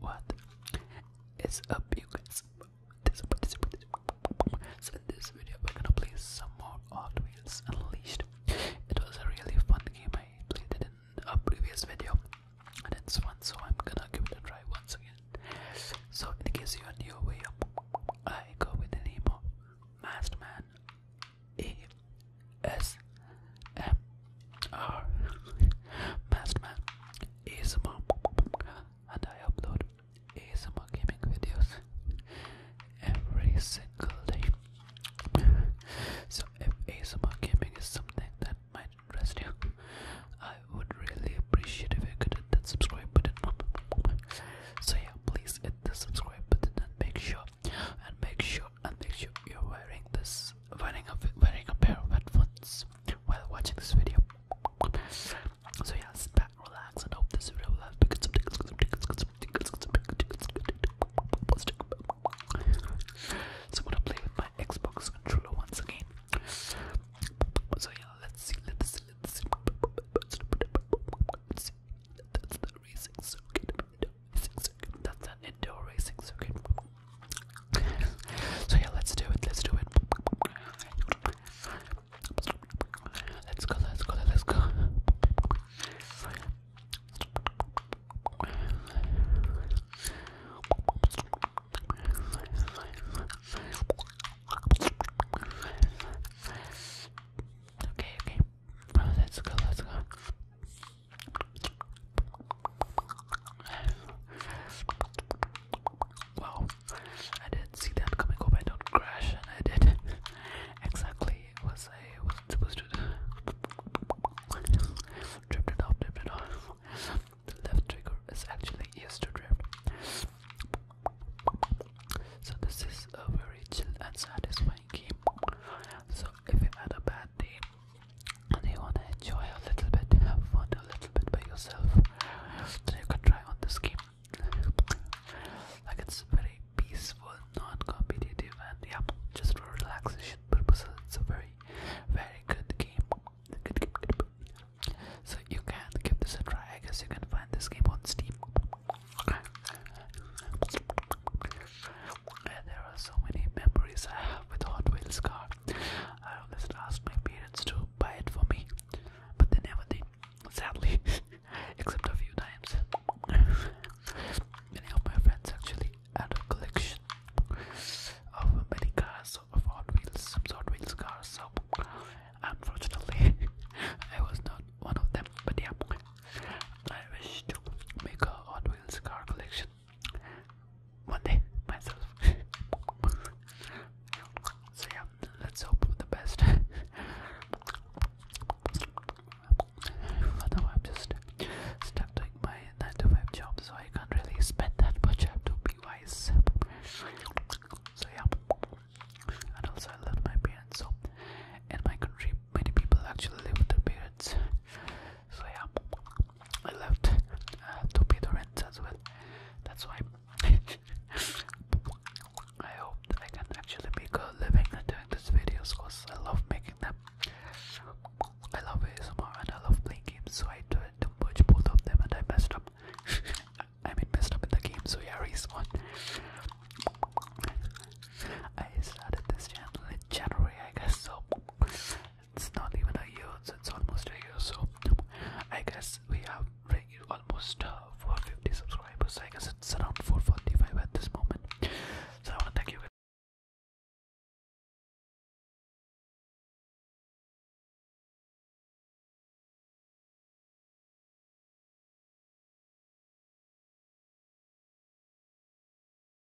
What is up, you guys? So in this video, we're gonna play some more Hot Wheels Unleashed. It was a really fun game. I played it in a previous video, and it's fun. So I'm gonna give it a try once again. So in case you are new over here, I go with the name of Masterman A S M are ah. Masterman ASMR and I upload ASMR gaming videos every single day. So if ASMR gaming is something that might interest you, I would really appreciate if you could hit that subscribe button. So yeah, please hit the subscribe button and make sure and make sure and make sure you're wearing this wearing a wearing a pair of headphones while watching this video. So yeah, sit back, relax, and hope this video will help you get some tickles, some tickles, some tickles, some tickles, So I'm gonna play with my Xbox controller once again. So yeah, let's see, let's see, let's see. Let's see. That's the racing circuit. Racing circuit. That's an indoor racing circuit. So yeah, let's do it. Let's do it. Let's go. Let's go. Let's go. Okay, okay. Let's go, let's go. Wow, I didn't see that coming. Hope I don't crash, and I did. exactly It was I wasn't supposed to. drift it off, drift it off. The left trigger is actually used to drift. So this is a very chill and satisfying game. So if you had a bad and they, you wanna enjoy a little bit, have fun a little bit by yourself, then you can try on this game. like it's very peaceful, non-competitive, and yeah, just for relaxation purposes. It's a very, very good game. Good, good, So you can give this a try. I guess you can find this game on Steam. And there are so many memories I have with Hot Wheels car. I always asked my parents to buy it for me, but they never did, sadly, except a few times. Many of my friends actually had a collection of many cars of Hot Wheels, some Hot Wheels cars, so unfortunately, I was not one of them, but yeah, I wish to make a Hot Wheels car collection one day myself. so yeah, let's hope for the best. For I'm just stuck doing my 9 to job, so I can't really spend that much. I have to be wise. So yeah, and also I love my parents. So in my country, many people actually live with their parents. So yeah, I left uh, to pay the rent as well. That's why I hope I can actually make a living doing these videos because I love making them. I love ASMR and I love playing games, so I do to merge both of them and I messed up. I mean, messed up in the game, so yeah, respawn. I started this channel in January, I guess, so it's not even a year, it's almost a year. So I guess we have almost uh, 450 subscribers. I guess it's around 445 at this moment. So I want to thank you guys.